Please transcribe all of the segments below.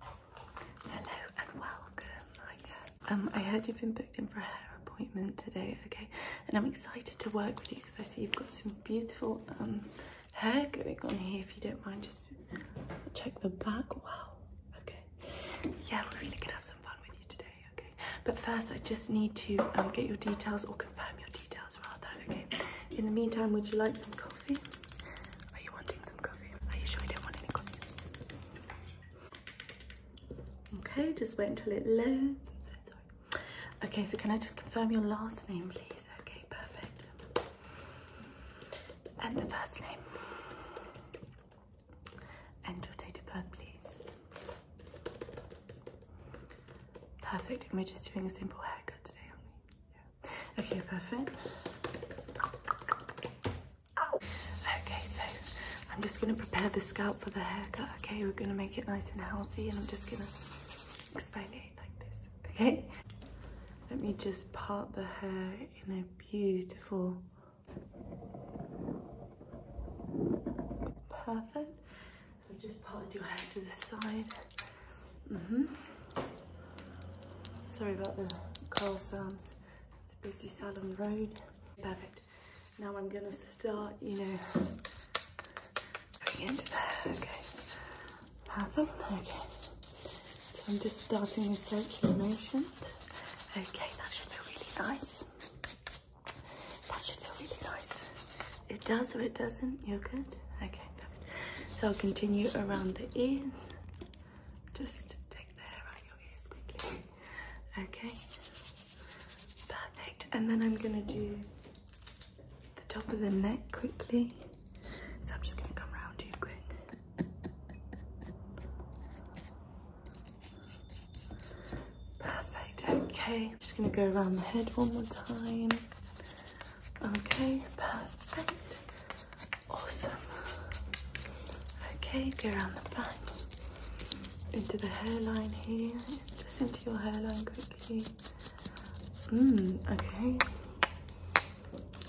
Hello and welcome. Uh, um, I heard you've been booked in for a hair appointment today, okay? And I'm excited to work with you because I see you've got some beautiful um hair going on here. If you don't mind, just uh, check the back. Wow. Okay. Yeah, we're really gonna have some fun with you today, okay? But first, I just need to um get your details or confirm your details rather. Okay. In the meantime, would you like some coffee? Are you wanting want some coffee. I don't want any coffee. Okay, just wait until it loads. I'm so sorry. Okay, so can I just confirm your last name, please? Okay, perfect. And the first name. And your date of birth, please. Perfect. we're just doing a simple haircut today, Okay, perfect. Okay, so I'm just going to prepare the scalp for the haircut. Okay, we're going to make it nice and healthy, and I'm just going to exfoliate like this. Okay, let me just part the hair in a beautiful. Perfect. So I just parted your hair to the side. Mm -hmm. Sorry about the car sounds. It's a busy Salon Road. Perfect. Now I'm gonna start, you know, going into there. Okay. Perfect. Okay. So I'm just starting with circular motion. Okay, that should feel really nice. That should feel really nice. It does or it doesn't, you're good. Okay. So I'll continue around the ears. Just take the hair out of your ears quickly. Okay. Perfect. And then I'm gonna do the top of the neck quickly. So I'm just gonna come round you quick. Perfect, okay. just gonna go around the head one more time. Okay, perfect. Awesome. Okay, go around the back, into the hairline here, just into your hairline quickly. Mmm, okay.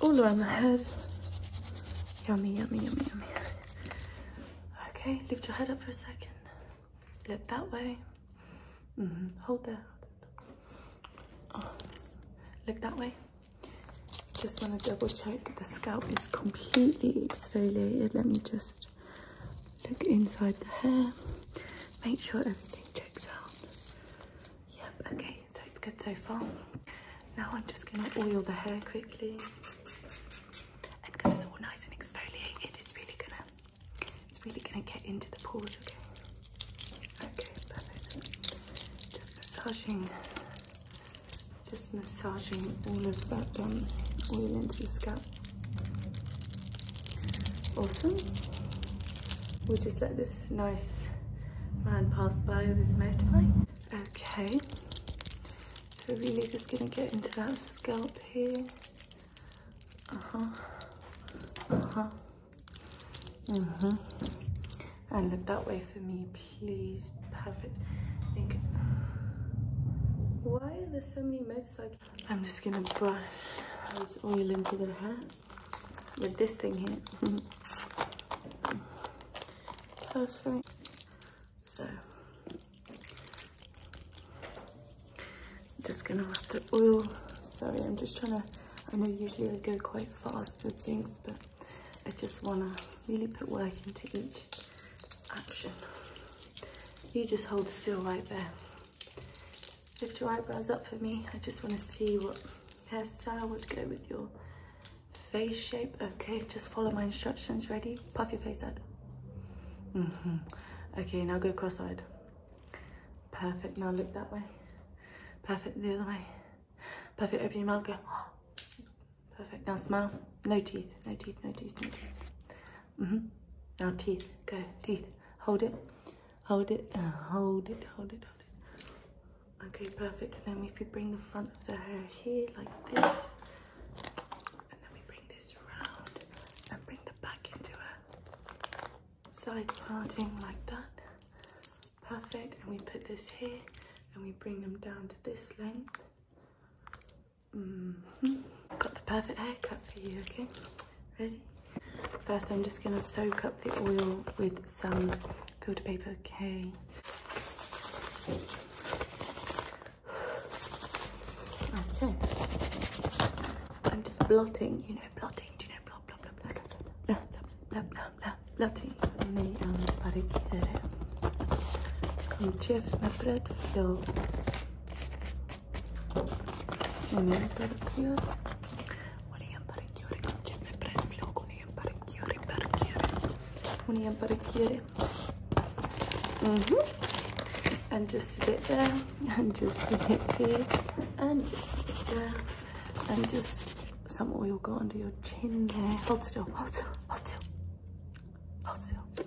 All around the head. Yummy, yummy, yummy, yummy. Okay, lift your head up for a second. Look that way. Mm-hmm. Hold that. Oh, look that way just want to double check the scalp is completely exfoliated let me just look inside the hair make sure everything checks out yep okay so it's good so far now i'm just going to oil the hair quickly and because it's all nice and exfoliated it's really gonna it's really going to get into the pores, okay? Okay, perfect. Just massaging, just massaging all of that um, oil into the scalp. Awesome. We'll just let this nice man pass by with his motorbike. Okay. So really just gonna get into that scalp here. Uh-huh. Uh-huh. Mm-hmm. And look that way for me, please. Perfect. Think. Why are there so many meds? Like I'm just gonna brush this oil into the hair with this thing here. Perfect. So I'm just gonna wrap the oil. Sorry, I'm just trying to, I know usually I go quite fast with things, but I just wanna really put work into each action. You just hold still right there. Lift your eyebrows up for me. I just wanna see what hairstyle would go with your face shape. Okay, just follow my instructions. Ready? Puff your face out. Mm-hmm. Okay, now go cross-eyed. Perfect, now look that way. Perfect, the other way. Perfect, open your mouth, go. Ah. Perfect, now smile. No teeth, no teeth, no teeth, no teeth. Mm -hmm. Now teeth, go, teeth. Hold it, hold it, uh, hold it, hold it, hold it. Okay, perfect. And then if you bring the front of the hair here like this, and then we bring this round and bring the back into her side parting like that. Perfect. And we put this here and we bring them down to this length. Mm-hmm. Got the perfect haircut for you, okay? Ready? First, I'm just going to soak up the oil with some filter paper, okay? Okay. I'm just blotting, you know, know blotting? Do you know blot, blot, blot, blot, blot, blot, blot, blot, blot, blotting? Nee, wat ik Kom, chef, mijn pret veel. Non è perchiore. Vuole apparecchiare, non c'è per prendilo con gli apparecchiare, apparecchiare. Con gli apparecchiare. Mm -hmm. And just sit there and just sit here and just there and just some oil go under your chin there. Hold still, hold still, hold still, hold still.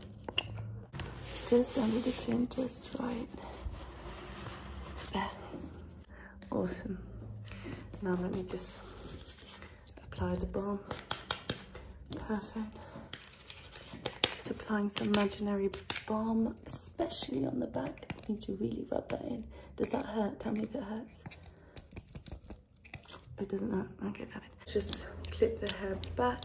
Just under the chin, just right there. Awesome. Now let me just apply the balm. Perfect applying some imaginary balm, especially on the back. need to really rub that in. Does that hurt? Tell me if it hurts. It doesn't hurt. Okay, perfect. Just clip the hair back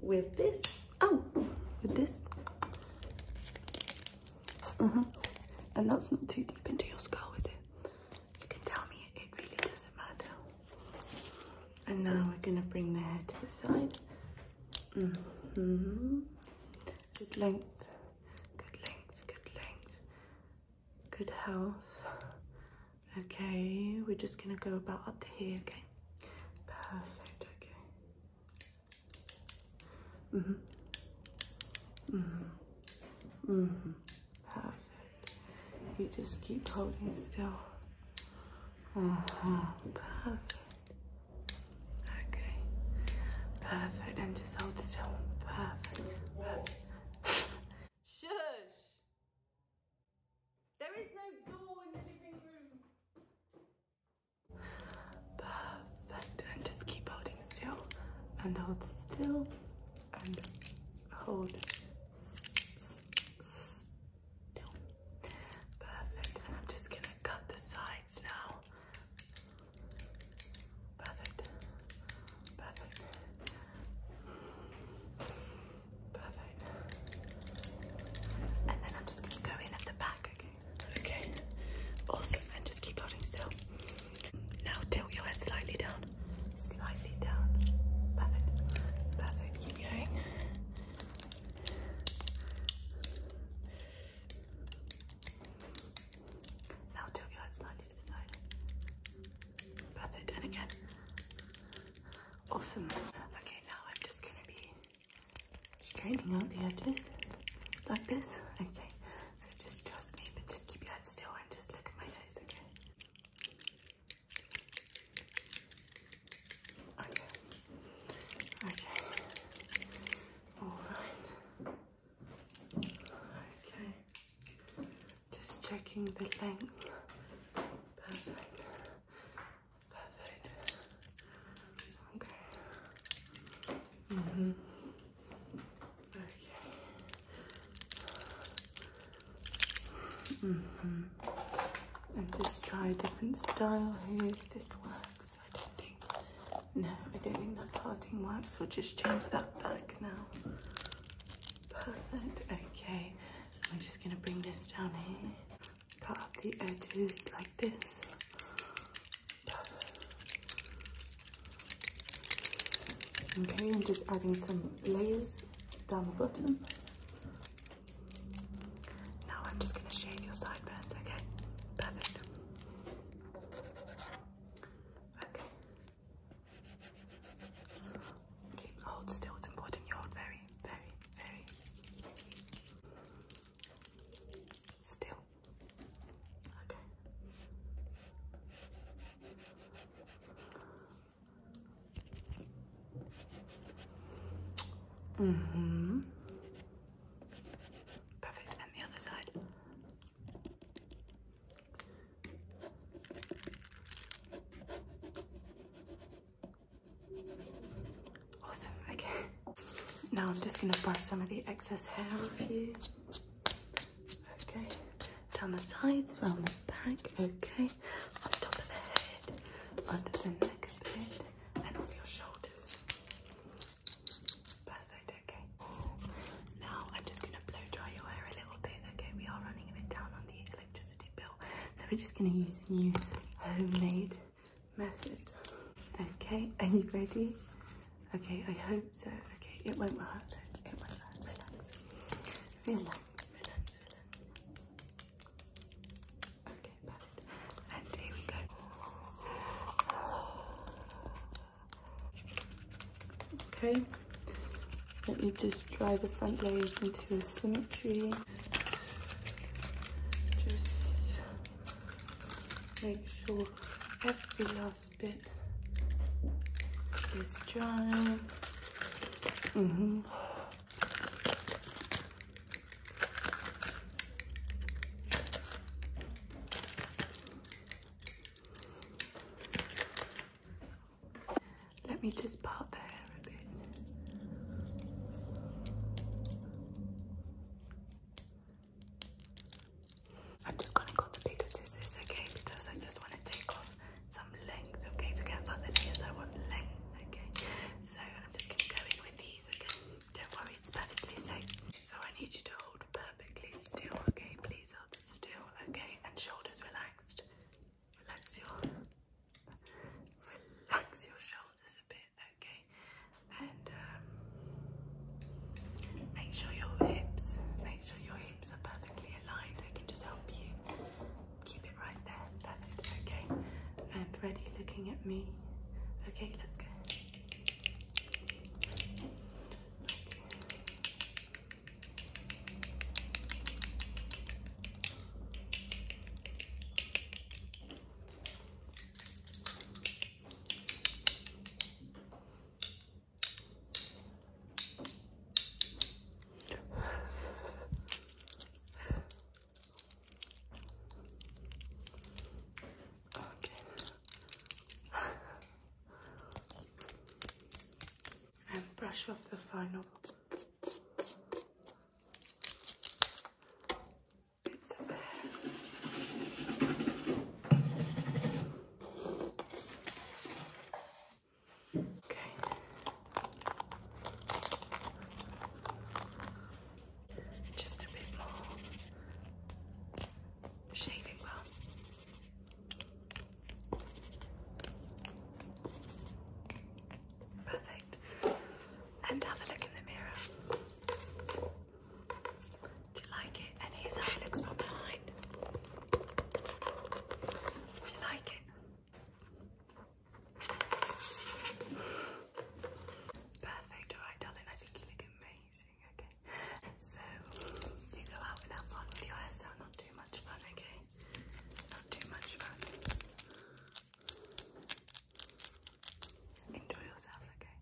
with this. Oh, with this. Mm -hmm. And that's not too deep into your skull, is it? You can tell me it, really doesn't matter. And now we're gonna bring the hair to the side. Mm-hmm. Good length, good length, good length, good health. Okay, we're just gonna go about up to here, okay? Perfect, okay. hmm hmm hmm Perfect. You just keep holding still. Uh-huh. Perfect. Okay. Perfect. And just hold still. Perfect. Perfect. Shush! There is no door in the living room. Perfect. And just keep holding still. And hold still and hold Perfect. And I'm just gonna cut the sides now. Perfect. Perfect. Perfect. And then I'm just gonna go in at the back, okay? Okay. Awesome. And just keep holding still. Now tilt your head slightly down slightly down. Perfect. Perfect. Keep going. Now tilt your head slightly to the side. Perfect. And again. Awesome. Okay, now I'm just going to be straightening out the edges like this. Okay. So just trust me, but just keep your head still and just look at my eyes, okay? Okay. Okay. All right. Okay. Just checking the length. Perfect. Perfect. Okay. Mhm. Mm Okay. -hmm. And just try different styles. if this works. I don't think, no, I don't think that parting works. We'll just change that back now. Perfect, okay. I'm just gonna bring this down here. Cut up the edges like this. Okay, I'm just adding some layers down the bottom. Now I'm just going to shave your sideburns, okay? Perfect. Okay. Keep hold still, it's important you hold very, very, very still. Okay. Mm-hmm. Perfect. And the other side. Awesome. Okay. Now I'm just going to brush some of the excess hair off you. Okay, down the sides, round the back, okay, on top of the head, under the neck a bit, and on your shoulders. Perfect, okay. Now I'm just gonna blow dry your hair a little bit, okay? We are running a bit down on the electricity bill, so we're just gonna use a new homemade method. Okay, are you ready? Okay, I hope so uh, okay, it won't hurt. It won't hurt. Relax. Relax, relax, Okay, perfect. And here we go. Okay, let me just dry the front layers into a symmetry. Just make sure every last last bit is dry. Mm-hmm. Let me just part the hair a bit. I'm just gonna cut the bigger scissors, okay? Because I just want to take off some length, okay? Forget about the layers, I want length, okay? So I'm just gonna go in with these, okay? Don't worry, it's perfectly safe. So I need you to hold perfectly still, okay? Please hold still, okay? And shoulders relaxed. Relax your relax your shoulders a bit, okay? And uh, Make sure your hips, make sure your hips are perfectly aligned. I can just help you keep it right there. Perfect. Okay. ready looking at me. Okay, let's go. Okay. And brush off the final bits of hair. Okay. Just a bit more shaving balm. Perfect. And have a look in the mirror. Do you like it? And here's how it looks from behind. Do you like it? Perfect, alright darling, I think you look amazing, okay? So, you go out and have fun with your hairstyle, not too much fun, okay? Not too much fun. Enjoy yourself, okay?